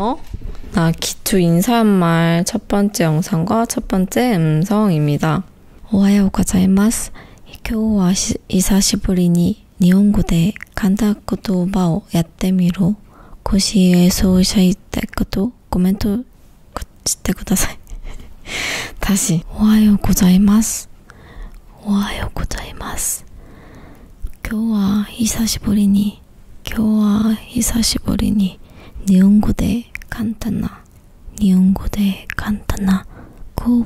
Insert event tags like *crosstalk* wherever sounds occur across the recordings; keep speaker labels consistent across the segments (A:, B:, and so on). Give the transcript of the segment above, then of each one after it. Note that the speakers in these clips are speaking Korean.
A: 어? 나 기초 인사말 첫 번째 영상과 첫 번째 음성입니다. 오하요 고자이마스. 교와 이사시부리니 니온고대 간다코토바오 야떼미로 고시에 소샤이떼코토 코멘토 고치테 쿠다사이. 다시 오하요 고자이마스. 오하요 고자이마스. 今日は久しぶりに今日は久しぶりに日本語で簡単な日本語で簡単なこう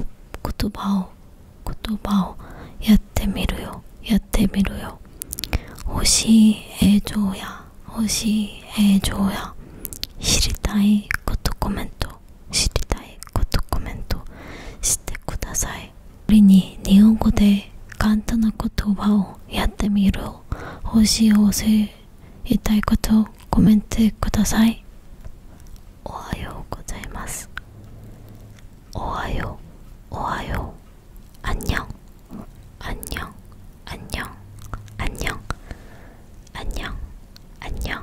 A: 言葉を言葉をやってみるよやってみるよえ星映うやえ星映うや知りたいことコメント知りたいことコメントしてくださいこれに日本語で簡単な言葉をやってみる星を教えたいことをコメントくださいおはようございますおはようおはようあんにゃんあんにゃんあんにゃんあんにゃんあんにゃんあんにょんあんにょん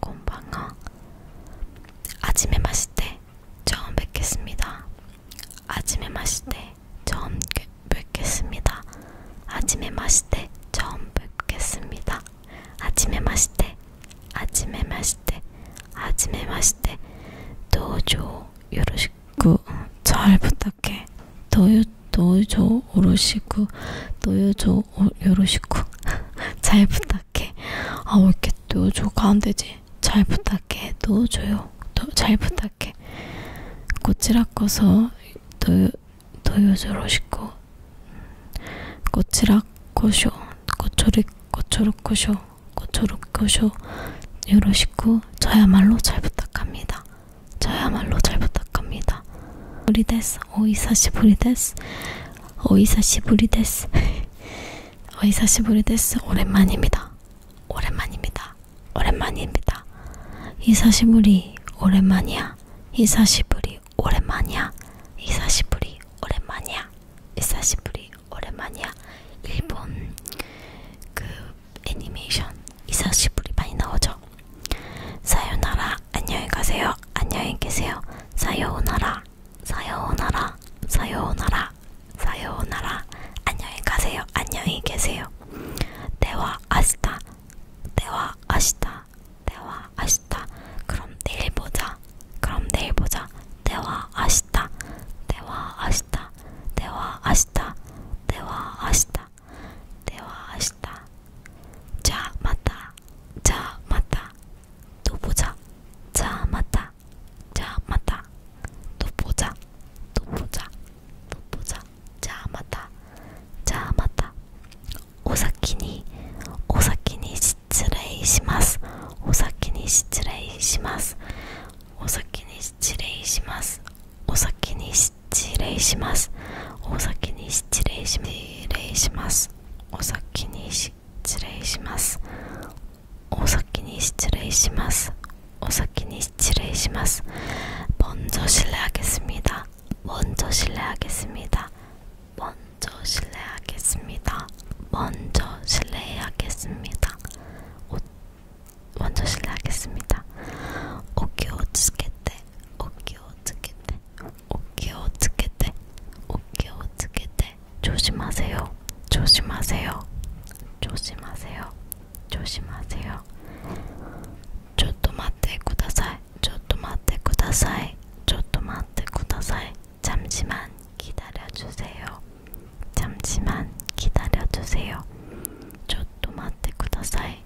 A: 곰방어 아침에 마실 때 처음 뵙겠습니다. 아침에 마실 때 처음 뵙겠습니다. 아침에 마실 때 처음 뵙겠습니다. 아침에 마실 때 아침에 마실 때 아침에 마실 때 도조 요로시구 어, 잘 부탁해 도요 도요 오로시구 도요 조 어, 요러시고 *laughs* 잘 부탁해. 아, 왜 이렇게 또줘가 안되지? 잘 부탁해. 또줘요. 또 잘 부탁해. 꽃이라 꺼서 또, 또요 저러시고 꽃이라 꺼쇼. 꽃초리, 꽃초로 꺼쇼. 꽃초로 꺼쇼. 요러시고 저야말로 잘 부탁합니다. 저야말로 잘 부탁합니다. ぶりですお久しぶりですお久しぶりですお久しぶりです오랜만입니다오랜만입니다오랜만입니다久しぶり오랜만이야久しぶり오랜만이야久しぶり오랜만이야久しぶり오랜만이야일본그 *laughs* 애니메이션 이사시부리 많이 나오죠. 사요나라 안녕히 가세요. 안녕히 계세요. 사요오나라. 사요오나라. 사요오나라. 사요오나라. 안녕히 가세요. 안녕히 계세요. 대화 아시다. 대화 아시다. 대화 아시다. 그럼 내일 보자. 그럼 내일 보자. 대화 아시다. 대화 아시다. 대화 아시다. 대화 아시다. では明日じゃあまたじゃあまたどぼざじゃあまたじゃあまたどぼざどぼざどぼざじゃあまたじゃあまたお先にお先に失礼しますお先に失礼しますお先に失礼します お先に失礼しますお先に失礼しますお先に失礼しますお先に失礼しますお先に失礼します먼저실례하겠습니다먼저실례하겠습니다먼저실례하겠습니다먼저실례하겠습니다먼저실례하겠습니다오기오츠케테 お気をつけてお気をつけてお気をつけて調子ませよ調子ませよ調子ませよ調子ませよちょっと待ってくださいちょっと待ってくださいちょっと待ってください잠시만기다려주세요잠시만기다려주세요ちょっと待ってください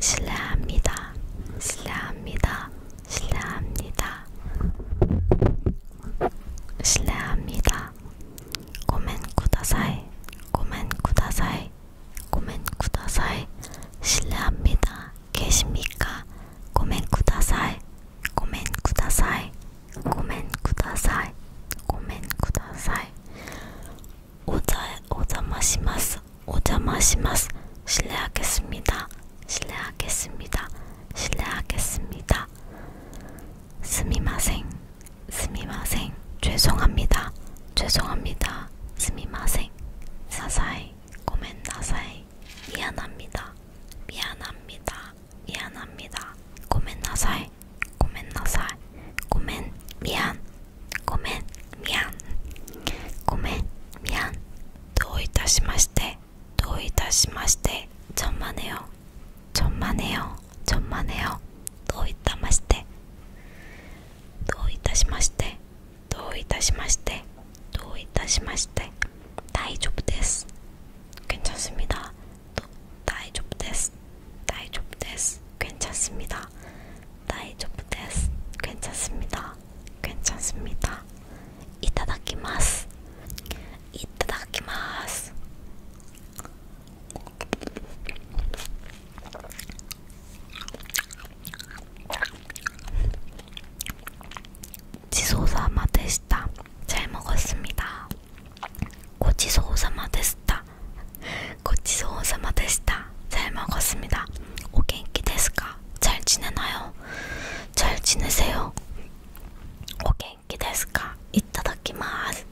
A: 신뢰합니다. 신뢰합니다. 신뢰합니다. 신뢰합니다. 고멘 쿠다사이. 고멘 쿠다사이. 고멘 쿠다사이. 신뢰합니다. 계십니까? 고멘 쿠다사이. 고멘 쿠다사이. 고멘 쿠다사이. 고멘 쿠다사이. 오자 오자마시마스. 오자마시마스 실례하겠습니다. 실례하겠습니다. 실례하겠습니다. 스미마생 스미마생 죄송합니다. 죄송합니다. 스미마생 사사이 고멘나사이 미안합니다. 미안합니다. 미안합니다. 고멘나사이 고멘나사이 고멘 미안 고멘 미안 고멘 미안 도이다시마시테 도이다시마시테 천만에요 천만에요 천만에요 도이다마시테 도이다시마시테 도이다시마시테 도이다시마시테 다이조부데스 괜찮습니다. 도, 다이조부데스 다이조부데스 괜찮습니다. 다이조프 데스. 괜찮습니다. 괜찮습니다. 이타다키마스. 이타다키마스. 지소사마 데시타. 잘 먹었습니다. 고지소사마 데시타. *laughs* 고치소오사마데시다. 잘 먹었습니다. 오겐키 데스까? 잘 지내나요? 잘 지내세요. 오겐키 데스까? 이따다키마스.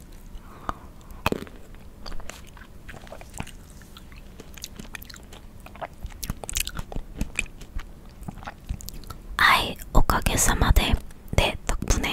A: 아이, 오가게사마데. 네, 덕분에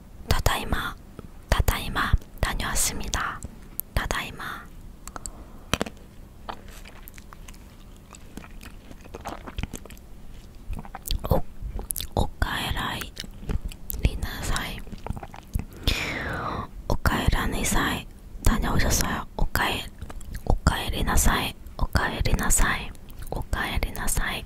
A: ただいまただいま다녀왔습니다ただいまおおかえらいりなさいおかえらにさい다녀오셨어요おかえおかえりなさいおかえりなさいおかえりなさい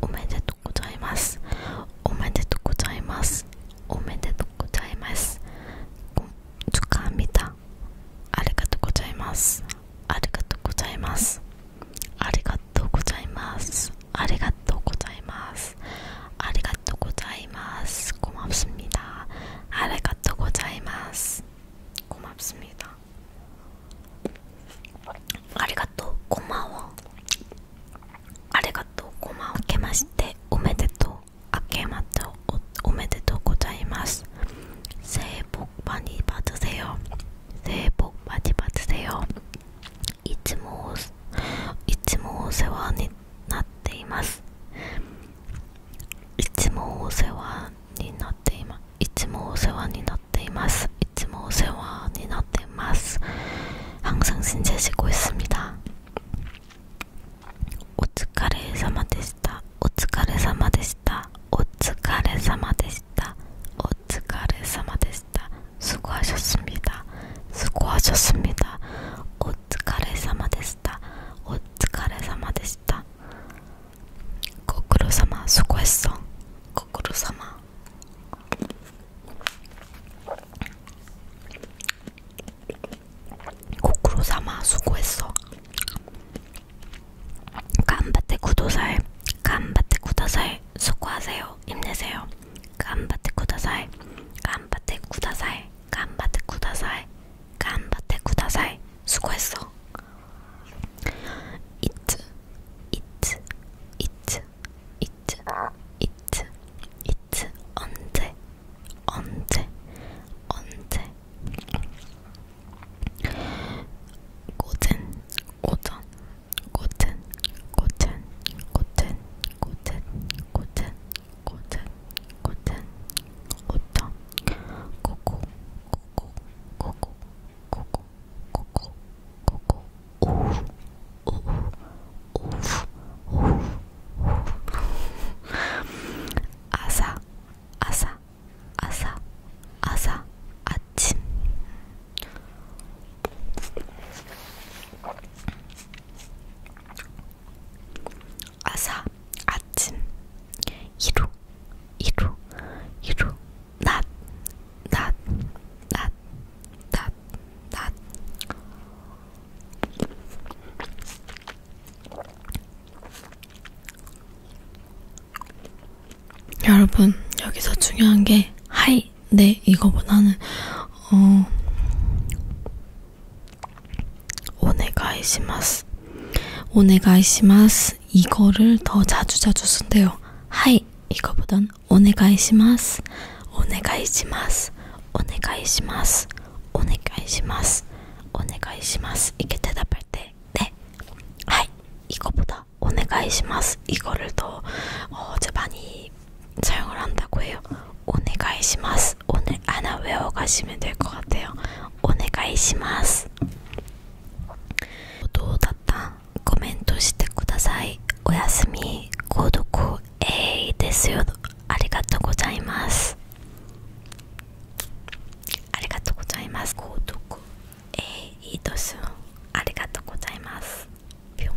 A: おめでとうございますおめでとうございますおめでとうございますごつかみたありがとうございますありがとうございますありがとうございますありがとうございますありがとうございます고맙습니다ありがとうございますごま습みた。ありがとうこんばありがとうこんばんけましておめでとうあけまっておめでとうございます聖母バニバツせよ聖母バニバツせよいつもいつもお世話になっていますいつもお世話にななっていますいつもお世話になっていますいつもお世話になっています항상신세지고있습니다お疲れ様でしたお疲れ様でしたお疲れ様でしたお疲れ様でした수고하셨습니다수고하셨습니다お疲れ様でしたお疲れ様でした 거꾸로 삼아 수고했어. 거꾸로 삼아. 거꾸로 삼아 수고했어. 간바테 구도사에 간바테 구다사에 수고하세요. 힘내세요. 간바테 구다사에 간바테 구다사에 간바테 구다사에 간바테 구다사에 수고했어. it, it, it, it, it, it, 언제, 언제, 언제. 고든, 오전, 고든, 고든, 고든, 고든, 고든, 고든, 고든, 오전, 고고, 고고, 고고 고고 고고 고고 오우 오우 오우 오우 오우 아사 아사 아사 아사 아침 아사 아침 이루 이루 이루 낮낮낮낮낮 여러분 여기서 중요한 게 하이 네 이거보다는 어お願いしますお願いします이거를더자주자주쓴대요はい이거보단お願いしますお願いしますお願いしますお願いしますお願いします이게대답할때ねはい이거보다お願いします이거를더어제많이사용을한다고해요お願いしますおね穴上をかしめてよかったお願いしますどうだったコメントしてくださいおやすみ購読えいですよありがとうございますありがとうございます購読えいですよありがとうございますぴょん。